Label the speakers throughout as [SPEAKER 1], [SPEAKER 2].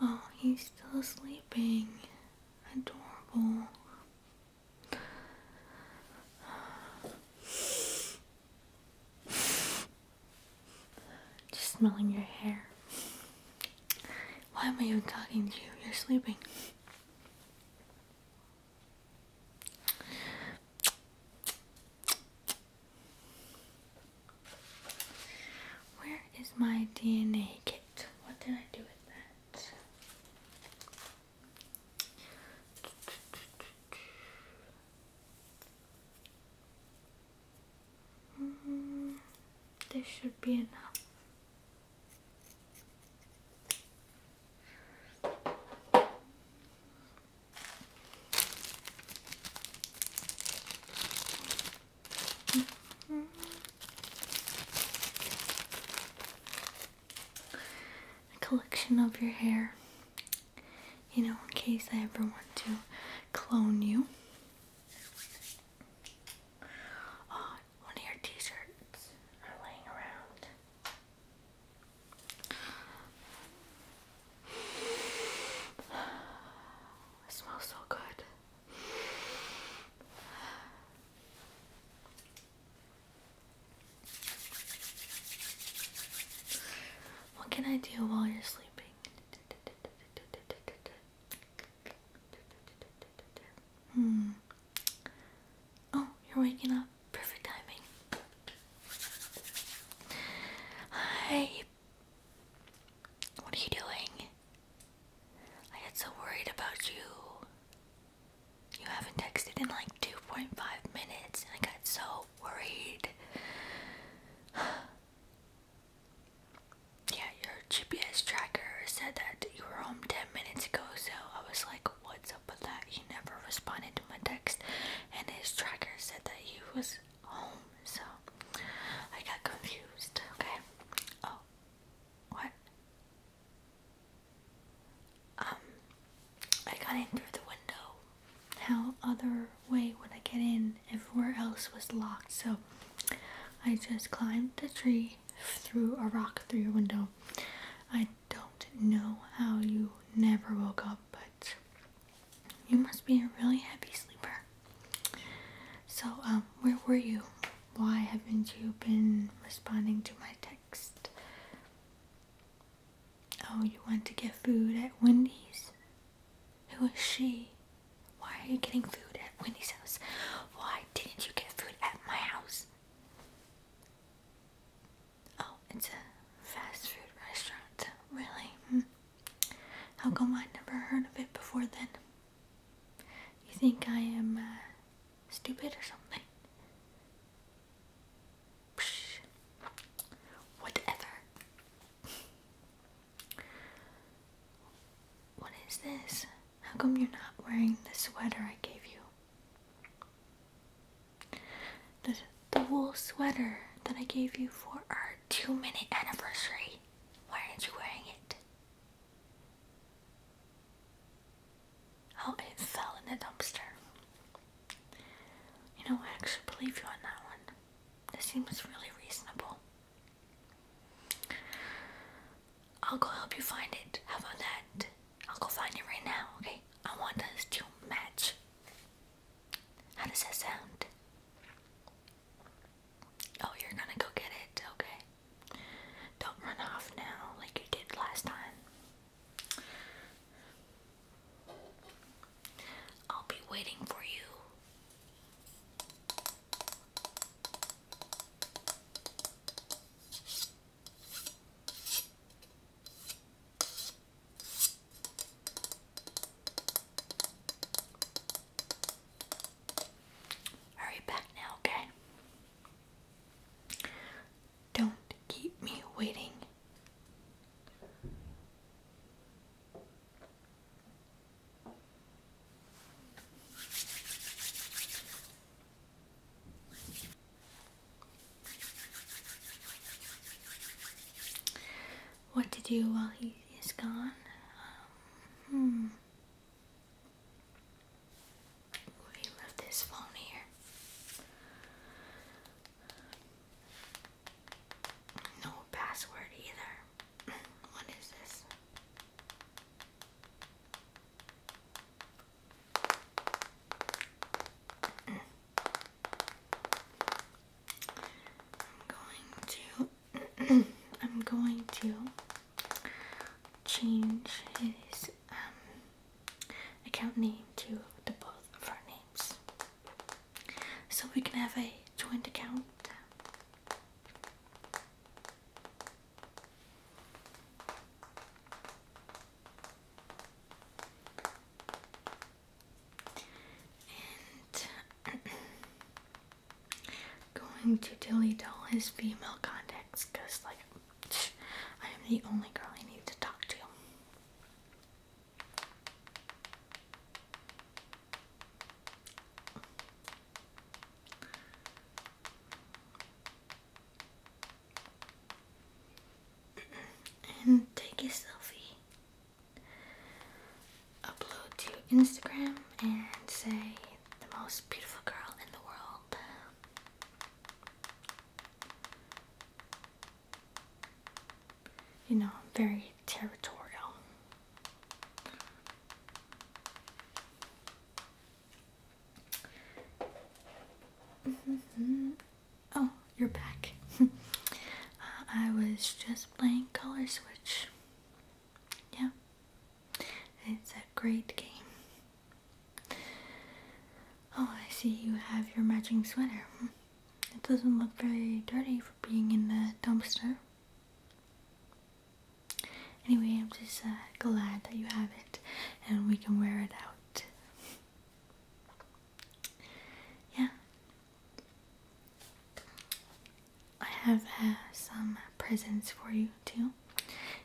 [SPEAKER 1] Oh, he's still sleeping. Adorable. Just smelling your hair. Why am I even talking to you? You're sleeping. Where is my DNA kit? What did I do with that? Mm, this should be enough. A collection of your hair, you know, in case I ever want to clone you. Oh, one of your t shirts are laying around. It smells so good. What can I do while you're sleeping? Hmm. Oh, you're waking up. Perfect timing. Hi. What are you doing? I get so worried about you. You haven't texted in like 2.5 minutes, and I got so worried. yeah, your GPS tracker said that you were home 10 minutes ago, so I was like, what's up that he never responded to my text and his tracker said that he was home, so I got confused, okay? Oh, what? Um, I got in through the window. How other way would I get in? Everywhere else was locked, so I just climbed the tree through a rock through your window. I don't know how you never woke up, but you must be a really heavy sleeper. So, um, where were you? Why haven't you been responding to my text? Oh, you went to get food at Wendy's? Who is she? Why are you getting food at Wendy's house? Why didn't you get food at my house? Oh, it's a fast food restaurant. Really? Hmm. How come I never heard of it before then? You think I am uh, stupid or something? whatever. What is this? How come you're not wearing the sweater I gave you? The, the wool sweater that I gave you for our two minute anniversary. Why aren't you wearing it? Oh, it fell in the dumpster. You know, I actually believe you on that one. This seems really reasonable. I'll go help you find it. How about that? I'll go find it right now, okay? I want us to match. How does that sound? Oh, you're gonna go get it, okay. Don't run off now like you did last time. I'll be waiting for you. Hurry back now, okay? Don't keep me waiting. What to do while he is gone? Um, hmm. He left phone here. No password either. what is this? I'm going to I'm going to change his um, account name to the both of our names so we can have a joint account. going to delete all his female contacts because like I am the only girl I need to talk to and take a selfie, upload to Instagram, and say the most beautiful girl in the world. You know, I'm very territorial. Mm-hmm. Oh, you're back. I was just playing Color Switch. Yeah, it's a great game. Oh, I see you have your matching sweater. It doesn't look very dirty for being in the dumpster. Anyway, I'm just uh, glad that you have it and we can wear it out yeah, I have some presents for you too.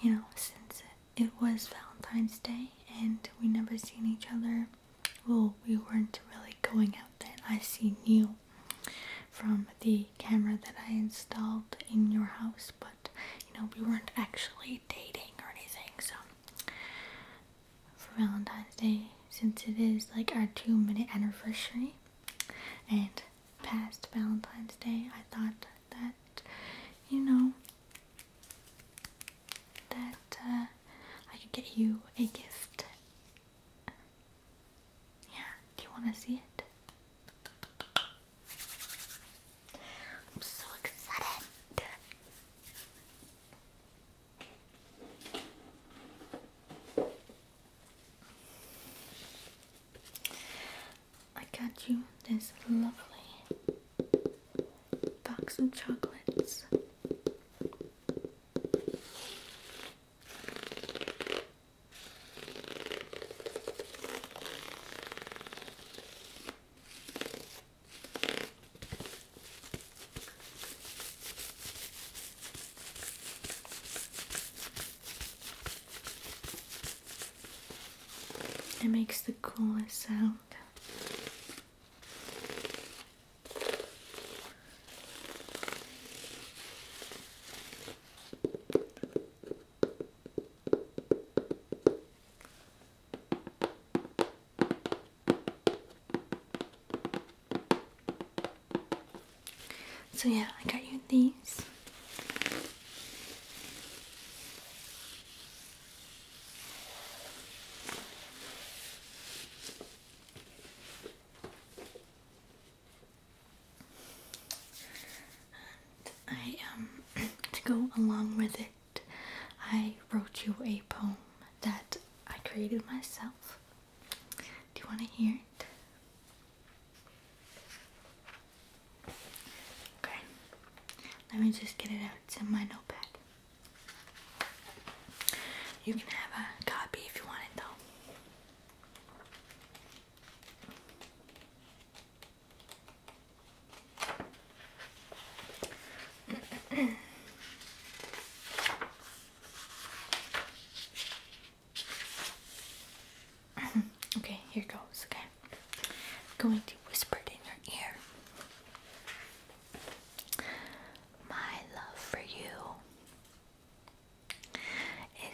[SPEAKER 1] You know, since it was Valentine's Day and we never seen each other, well, we weren't really going out then. I see you from the camera that I installed in your house, but you know, we weren't actually dating or anything, so for Valentine's Day since it is like our two minute anniversary. And past Valentine's Day, I thought that, you know, that uh, I could get you a gift. Yeah, do you want to see it? I'm so excited. I got you this lovely box of chocolates. It makes the coolest sound. So yeah, I got you these. And I um to go along with it, I wrote you a poem that I created myself. Do you want to hear it? Okay, let me just get it out. It's in my notepad. You can have a copy if you want it, though. okay, here goes, okay? I'm going to whisper it in your ear. My love for you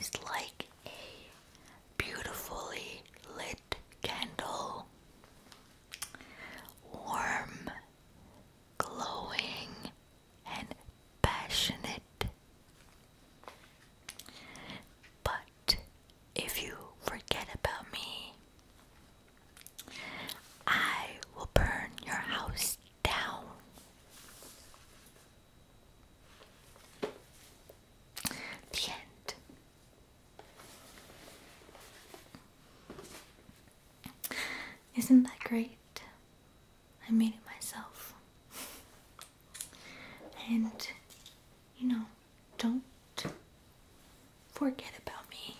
[SPEAKER 1] is like a beautifully lit candle, warm glowing, and passionate. But if you forget about me, I will burn your house down. The end. Isn't that great? I made it myself. And, you know, don't forget about me.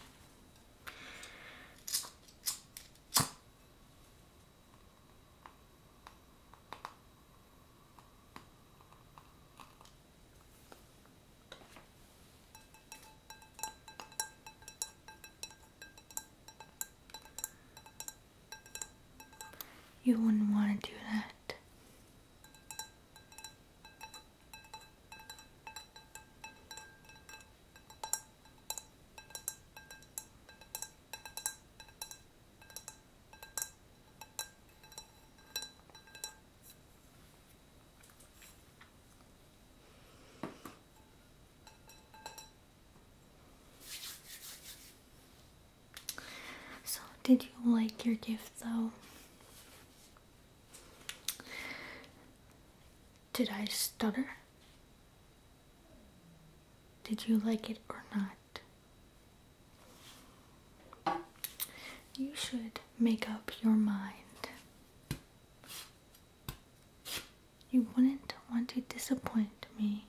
[SPEAKER 1] You wouldn't want to do that. So, did you like your gift though? Did I stutter? Did you like it or not? You should make up your mind. You wouldn't want to disappoint me.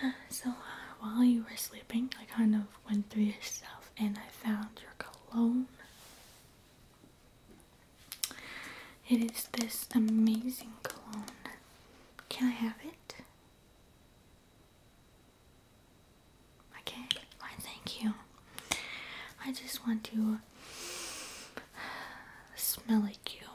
[SPEAKER 1] So uh, while you were sleeping, I kind of went through yourself, and I found your cologne. It is this amazing cologne. Can I have it? Okay, thank you. I just want to smell like you.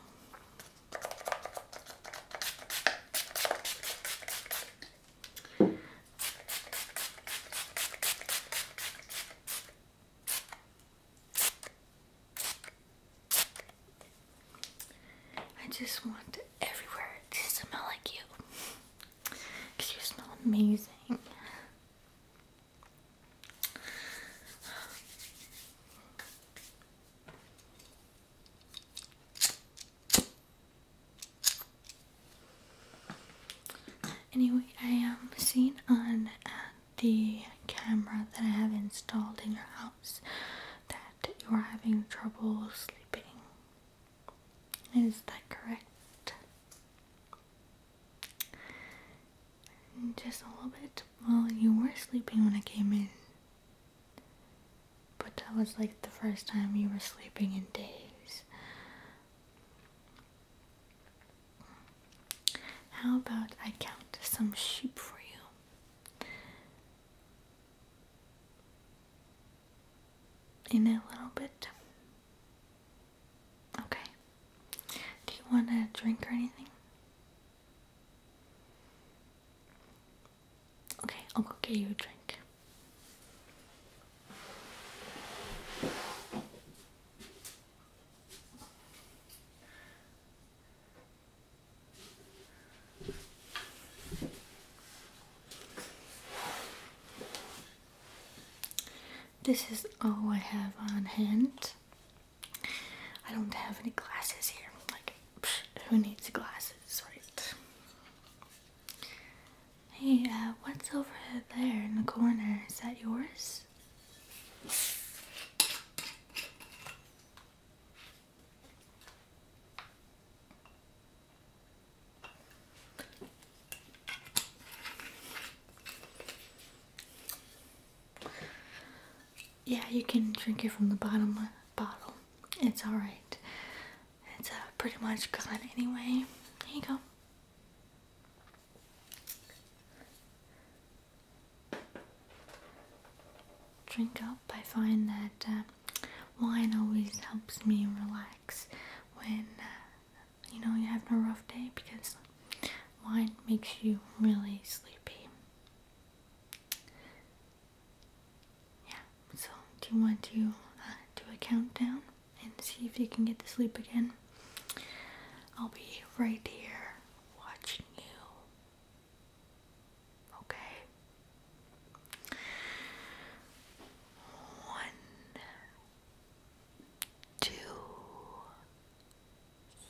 [SPEAKER 1] I just want everywhere to smell like you you smell amazing. Anyway, I am seeing on the camera that I have installed in your house that you are having trouble sleeping. Is that correct? Just a little bit. Well, you were sleeping when I came in, but that was like the first time you were sleeping in days. How about I count some sheep for you? In a little bit. Okay. Do you want a drink or anything? Okay, I'll go get you a drink. This is all I have on hand. I don't have any glasses here. Like, who needs glasses, right? Hey, uh, what's over there in the corner? Is that yours? Yeah, you can drink it from the bottom uh, bottle. It's alright. It's uh, pretty much gone anyway. Here you go. Drink up. I find that uh, wine always helps me relax when uh, you know you are having a rough day because wine makes you really sleepy. Yeah, so do you want to uh, do a countdown and see if you can get to sleep again? I'll be right here watching you. Okay? One, two,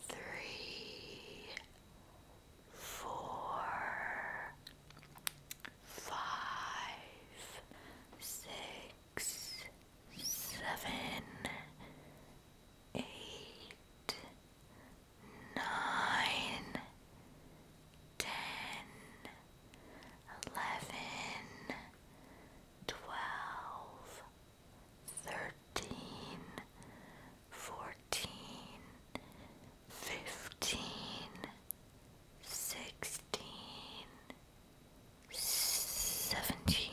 [SPEAKER 1] three, four, five, six, seven, eight, nine, ten, eleven, twelve, thirteen, fourteen. 15 fifteen, sixteen, seventeen,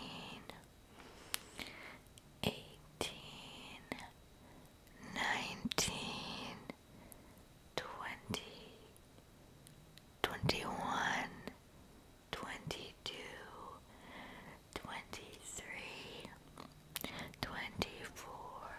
[SPEAKER 1] eighteen, nineteen, twenty, twenty-one, twenty-two, twenty-three, twenty-four,